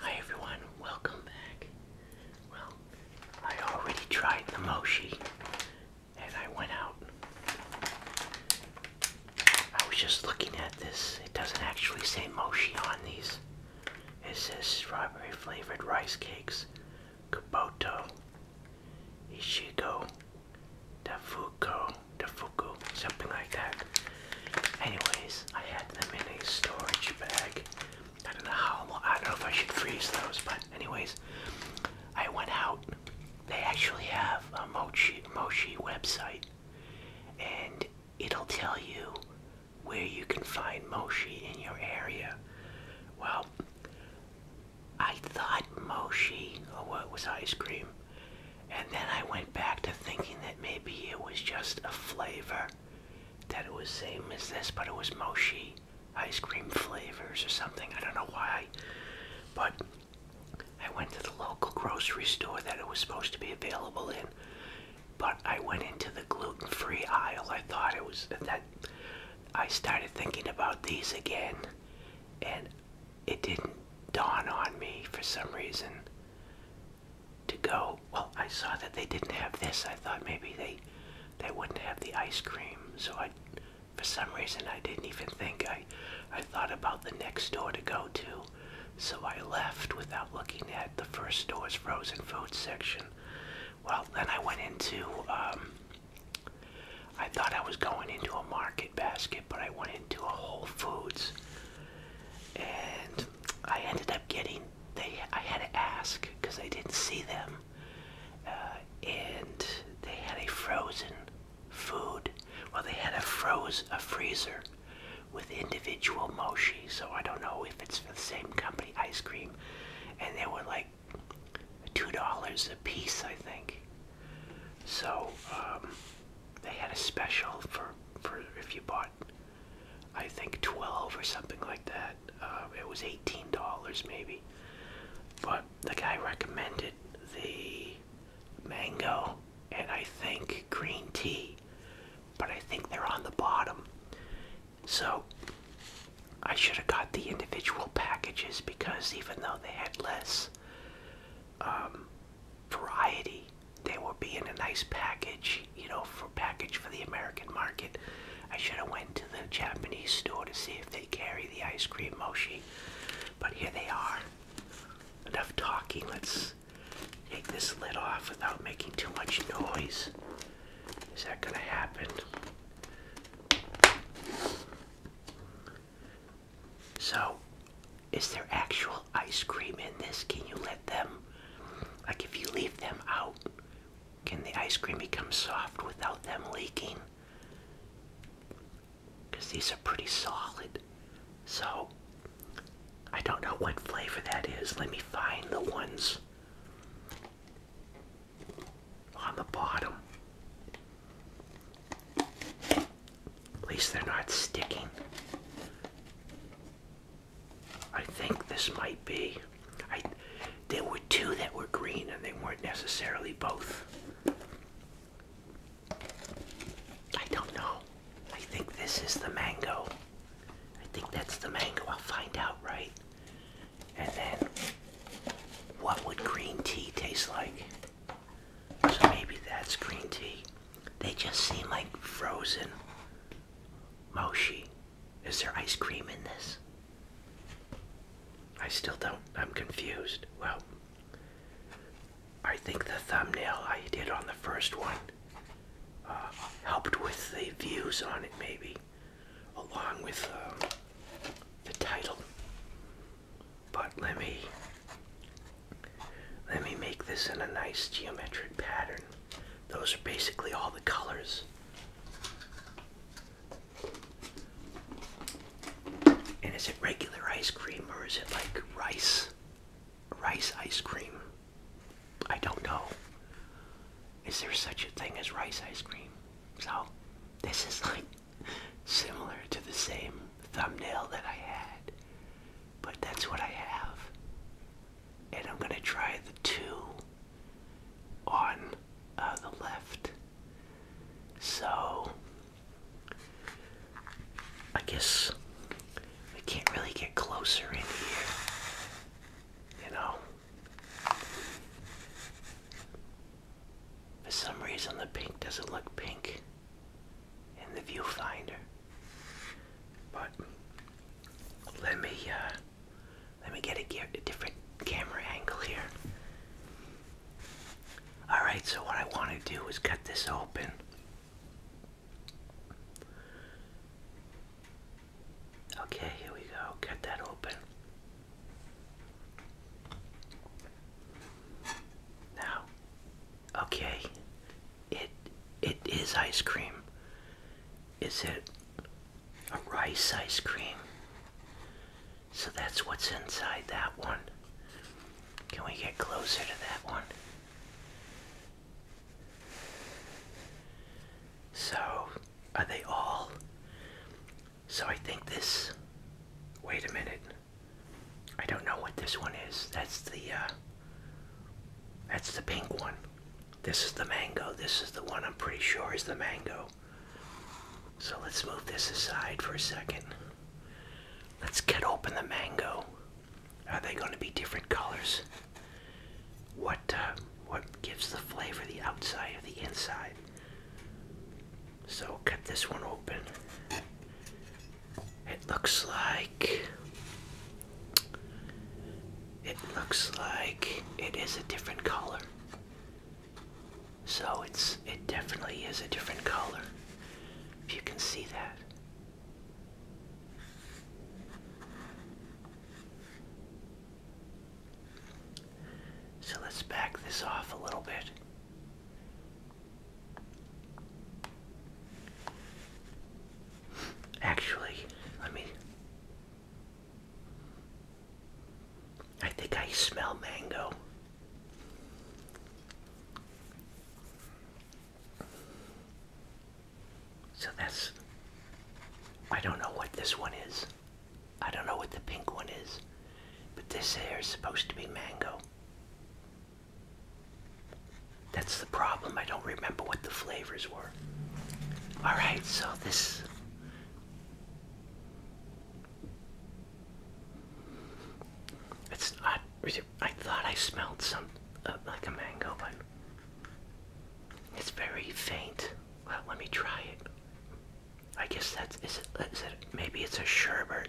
Hi everyone, welcome back. Well, I already tried the mochi and I went out. I was just looking at this. It doesn't actually say mochi on these. It says strawberry flavored rice cakes, kabuto, Ishigo, Dafuko, the fuku, something like that. Anyways, I had them in a storage bag. I don't know how I don't know if I should freeze those, but anyways, I went out. They actually have a Mochi, Mochi website, and it'll tell you where you can find Mochi in your area. Well, I thought Mochi, was ice cream, and then I went back to thinking that maybe it was just a flavor, that it was same as this, but it was Moshi ice cream flavors or something. I don't know why, but I went to the local grocery store that it was supposed to be available in. But I went into the gluten-free aisle. I thought it was that I started thinking about these again, and it didn't dawn on me for some reason to go. Well, I saw that they didn't have this. I thought maybe they they wouldn't have the ice cream. So I, for some reason, I didn't even think. I I thought about the next store to go to, so I left without looking at the first store's frozen food section. Well, then I went into. Um, I thought I was going into a market basket, but I went into a Whole Foods and I ended up getting they I had to ask because I didn't see them, uh, and they had a frozen food. Well, they had a froze a freezer with individual mochi, so I don't know if it's for the same company ice cream, and they were like two dollars a piece, I think. So um, they had a special for for if you bought I think 12 or something like that. Uh, it was $18 maybe. But the guy recommended the mango and I think green tea. But I think they're on the bottom. So I should have got the individual packages because even though they had less, um, variety. They will be in a nice package, you know, for package for the American market. I should have went to the Japanese store to see if they carry the ice cream mochi, but here they are. Enough talking. Let's take this lid off without making too much noise. Is that gonna happen? So is there actual ice cream in this? Can you let them, like if you leave them out, can the ice cream become soft without them leaking? Because these are pretty solid. So, I don't know what flavor that is. Let me find the ones on the bottom. At least they're not sticking. I think this might be. I there were two that were green and they weren't necessarily both. I don't know. I think this is the mango. I think that's the mango. I'll find out, right? And then what would green tea taste like? So maybe that's green tea. They just seem like frozen moshi. Is there ice cream in this? I still don't. I'm confused. Well, I think the thumbnail I did on the first one uh, helped with the views on it, maybe, along with um, the title. But let me let me make this in a nice geometric pattern. Those are basically all the colors. And is it regular ice cream or is it like rice? Rice ice cream? I don't know. Is there such a thing as rice ice cream? So, this is like similar to the same thumbnail that I had but that's what I have. And I'm gonna try the two on uh, the left. So, I guess we can't really get closer in here. You know? For some reason, the pink doesn't look pink in the viewfinder. But let me uh, let me get a, a different camera angle here. All right, so what I want to do is cut this open. Okay, here we go. Cut that open. Now, Okay. It it is ice cream. Is it a rice ice cream? So that's what's inside that one. Can we get closer to that one? So, are they all? So I think this. Wait a minute. I don't know what this one is. That's the uh, that's the pink one. This is the mango. This is the one I'm pretty sure is the mango. So let's move this aside for a second. Let's get open the mango. Are they going to be different colors? What uh, what gives the flavor the outside or the inside? So cut this one open. It looks like. It looks like it is a different color. So it's it definitely is a different color. If you can see that. So let's back this off a little bit. Actually, let me. I think I smell mango. So that's. I don't know what this one is. I don't know what the pink one is. But this here is supposed to be mango. That's the problem. I don't remember what the flavors were. All right, so this. It's not. I thought I smelled some uh, like a mango, but it's very faint. Well, let me try it. I guess that's is it? Maybe it's a sherbet.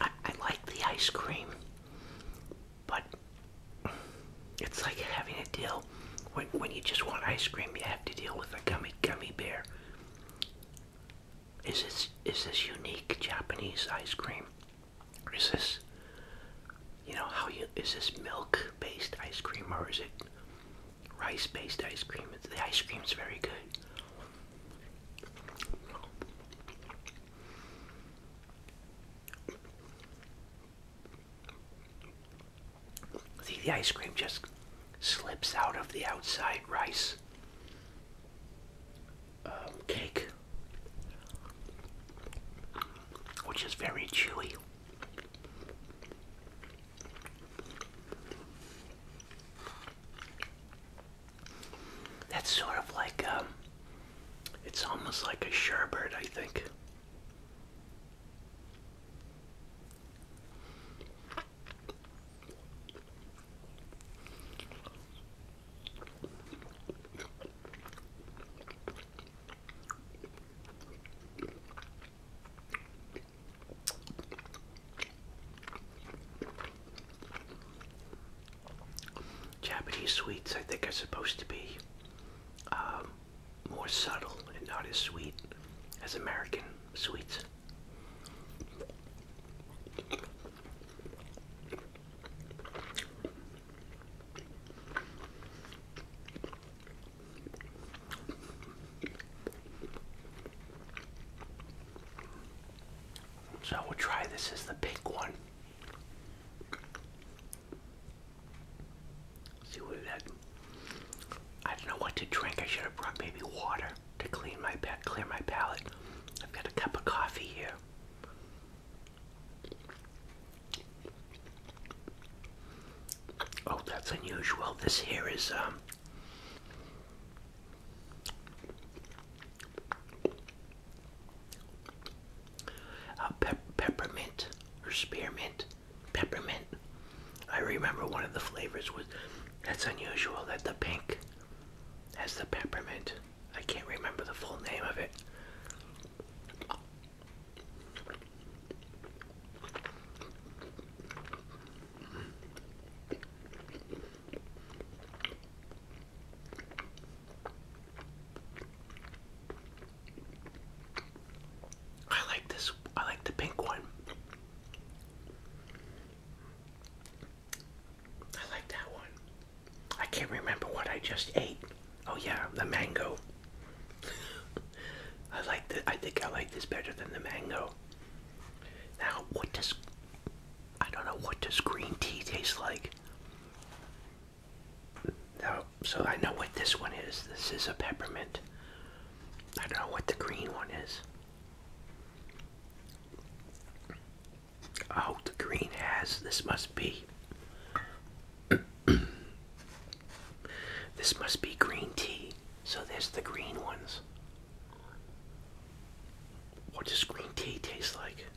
I, like the ice cream, but it's like having to deal when, when you just want ice cream, you have to deal with a gummy gummy bear. Is this is this unique Japanese ice cream? is this you know how you is this milk based ice cream or is it rice based ice cream? The ice cream's very good the ice cream just slips out of the outside rice um, cake, which is very chewy. That's sort of like um, it's almost like a sherbet, I think. Japanese sweets, I think, are supposed to be um, more subtle and not as sweet as American sweets. So we'll try this as the pink one. See what that. I don't know what to drink. I should have brought maybe water to clean my pa clear my palate. I've got a cup of coffee here. Oh, that's unusual. This here is um uh, peppermint or spearmint, peppermint. I remember one of the flavors was that's unusual that the pink has the peppermint. I can't remember the full name of it. I like this. I like the pink one. I like that one. I can't remember what I just ate. Oh yeah, the mango. I like the I think I like this better than the mango. Now, what does I don't know what does green tea taste like. No, so I know what this one is. This is a peppermint. I don't know what the green one is. Oh, the green has. This must be. this must be green tea. So there's the green ones. What does green tea taste like?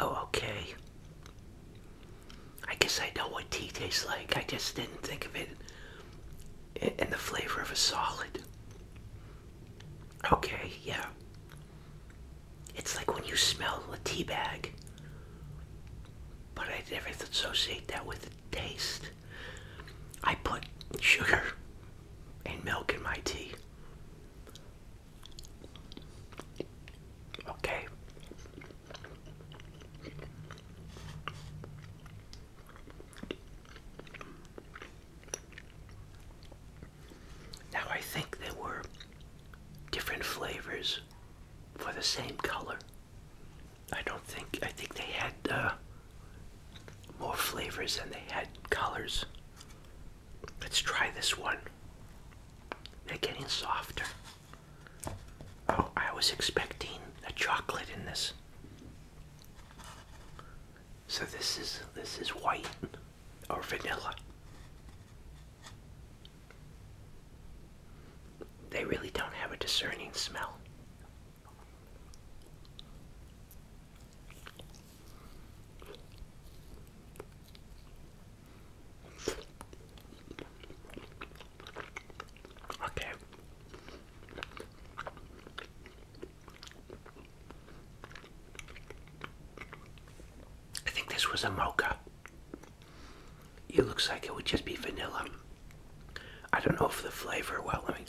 Oh, okay. I guess I know what tea tastes like. I just didn't think of it in the flavor of a solid. Okay, yeah. It's like when you smell a tea bag. But I never associate that with the taste. I put sugar and milk in my tea. Okay. Now I think there were different flavors for the same color. I don't think, I think they had uh, more flavors than they had colors. Let's try this one. They're getting softer. Oh, I was expecting a chocolate in this. So this is this is white or vanilla. They really don't have a discerning smell. Okay. I think this was a mocha. It looks like it would just be vanilla. I don't know if the flavor, well, let me.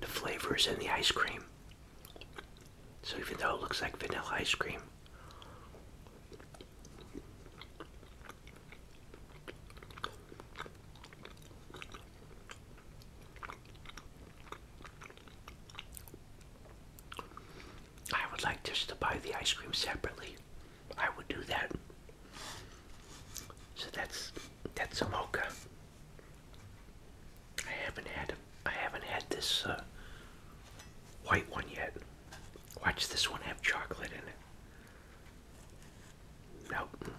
The flavor is in the ice cream. So even though it looks like vanilla ice cream, I would like just to buy the ice cream separately. I would do that. So that's that's a mocha. I haven't had I haven't had this uh, white one yet. Watch this one have chocolate in it. Nope.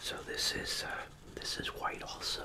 So this is uh, this is white also.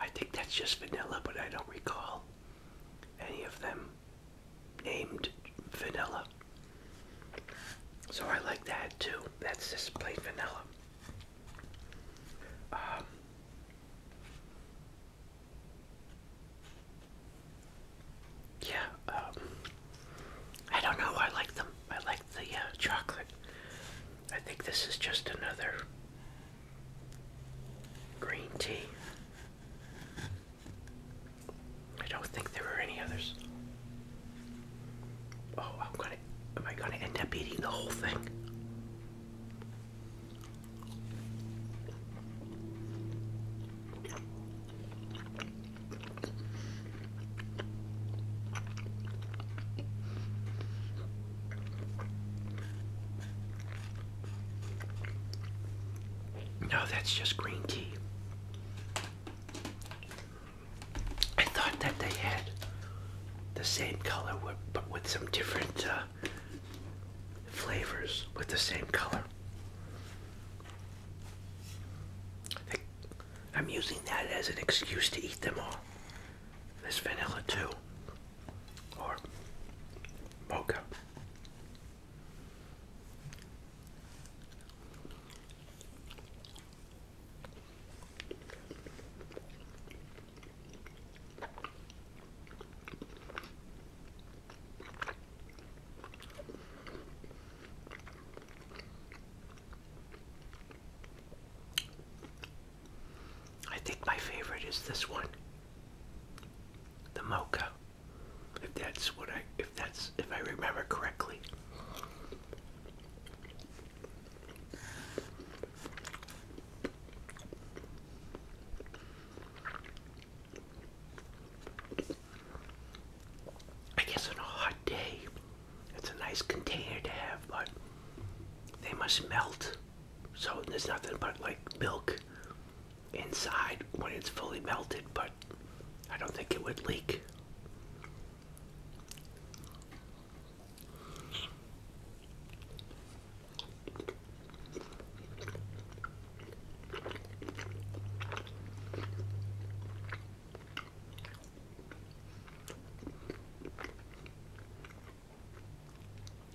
I think that's just vanilla, but I don't recall any of them named vanilla. So I like that too. That's just plain vanilla. Um, yeah, um, I don't know. I like them. I like the uh, chocolate. I think this is just another green tea. I don't think there are any others. Oh, Am I gonna end up eating the whole thing? No, that's just green tea. I thought that they had the same color, but with some different uh, flavors with the same color. I'm using that as an excuse to eat them all is vanilla too, or mocha. I think my favorite is this one. The mocha. If that's what I if that's if I remember correctly. I guess on a hot day it's a nice container to have, but they must melt. So there's nothing but like milk inside when it's fully melted, but I don't think it would leak.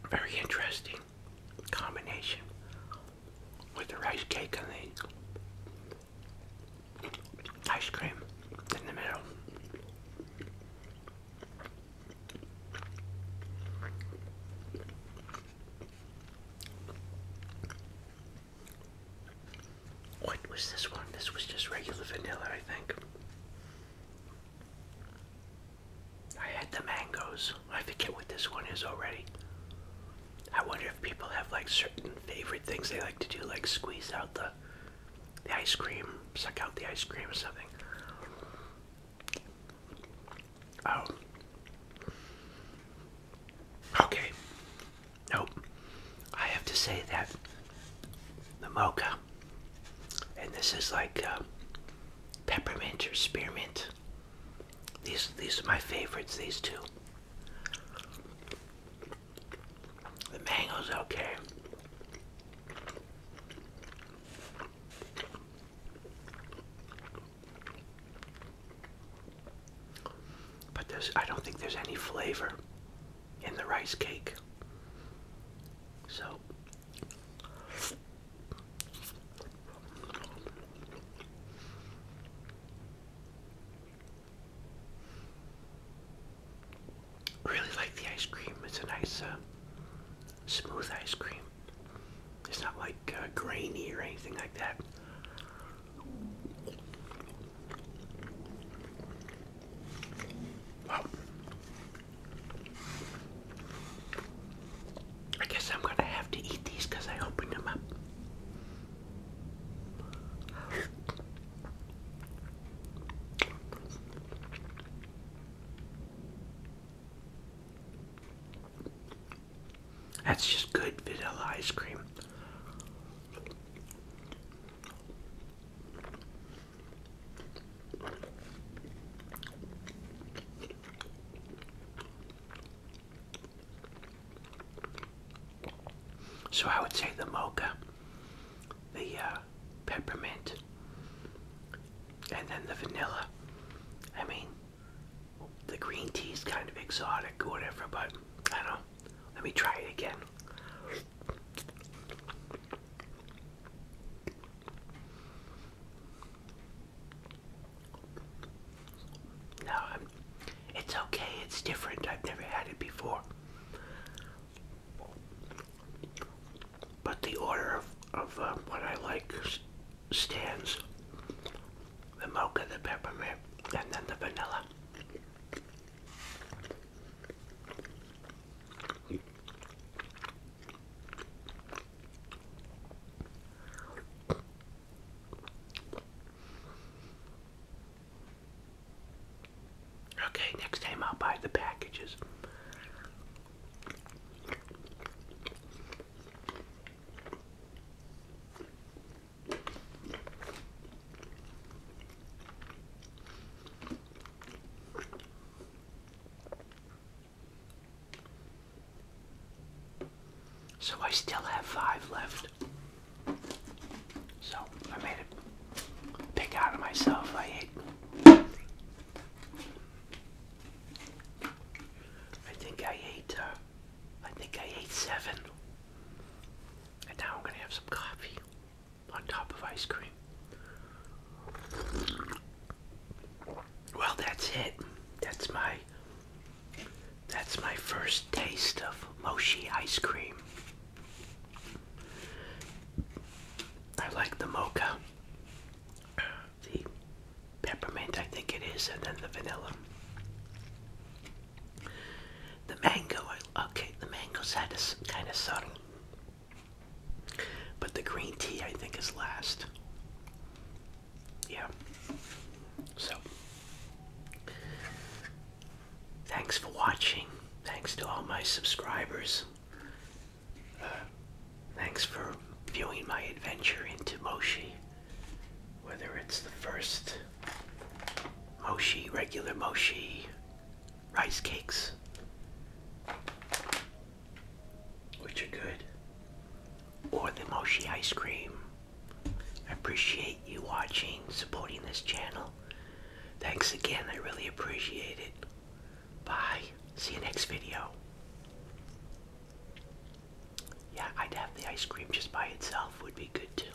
Very interesting combination with the rice cake and the ice cream in the middle. What was this one? This was just regular vanilla, I think. I had the mangoes. I forget what this one is already. I wonder if people have like certain favorite things they like to do, like squeeze out the ice cream, suck out the ice cream or something. Oh. Okay. Nope. I have to say that the mocha and this is like uh, peppermint or spearmint. These these are my favorites. These two. The mango's okay. But there's I don't think there's any flavor in the rice cake. So really like the ice cream. It's a nice, uh, smooth ice cream. It's not like uh, grainy or anything like that. Well, I guess I'm gonna have to eat these I opened them up. That's just good vanilla ice cream. So I would say the mocha, the uh, peppermint, and then the vanilla. I mean, the green tea is kind of exotic or whatever, but I don't Let me try it again. No, it's okay. It's different. I've never had it before. But the order of, of uh, what I like stands the mocha, the peppermint, and then the vanilla. Okay, next time I'll buy the packages. So I still have five left. So I made a pick out of myself. I ate. I think I ate. Uh, I think I ate seven. And now I'm gonna have some coffee on top of ice cream. Well, that's it. That's my that's my first taste of mochi ice cream. I like the mocha, the peppermint, I think it is, and then the vanilla. The mango, okay, the mango's had a kind of subtle but the green tea, I think, is last. Yeah. So, thanks for watching. Thanks to all my subscribers. Uh, thanks for viewing my adventure into Moshi. Whether it's the first Moshi, regular Moshi, rice cakes, which are good, or the mochi ice cream. I appreciate you watching, supporting this channel. Thanks again, I really appreciate it. Bye. See you next video. Yeah, I'd have the ice cream just by itself would be good too.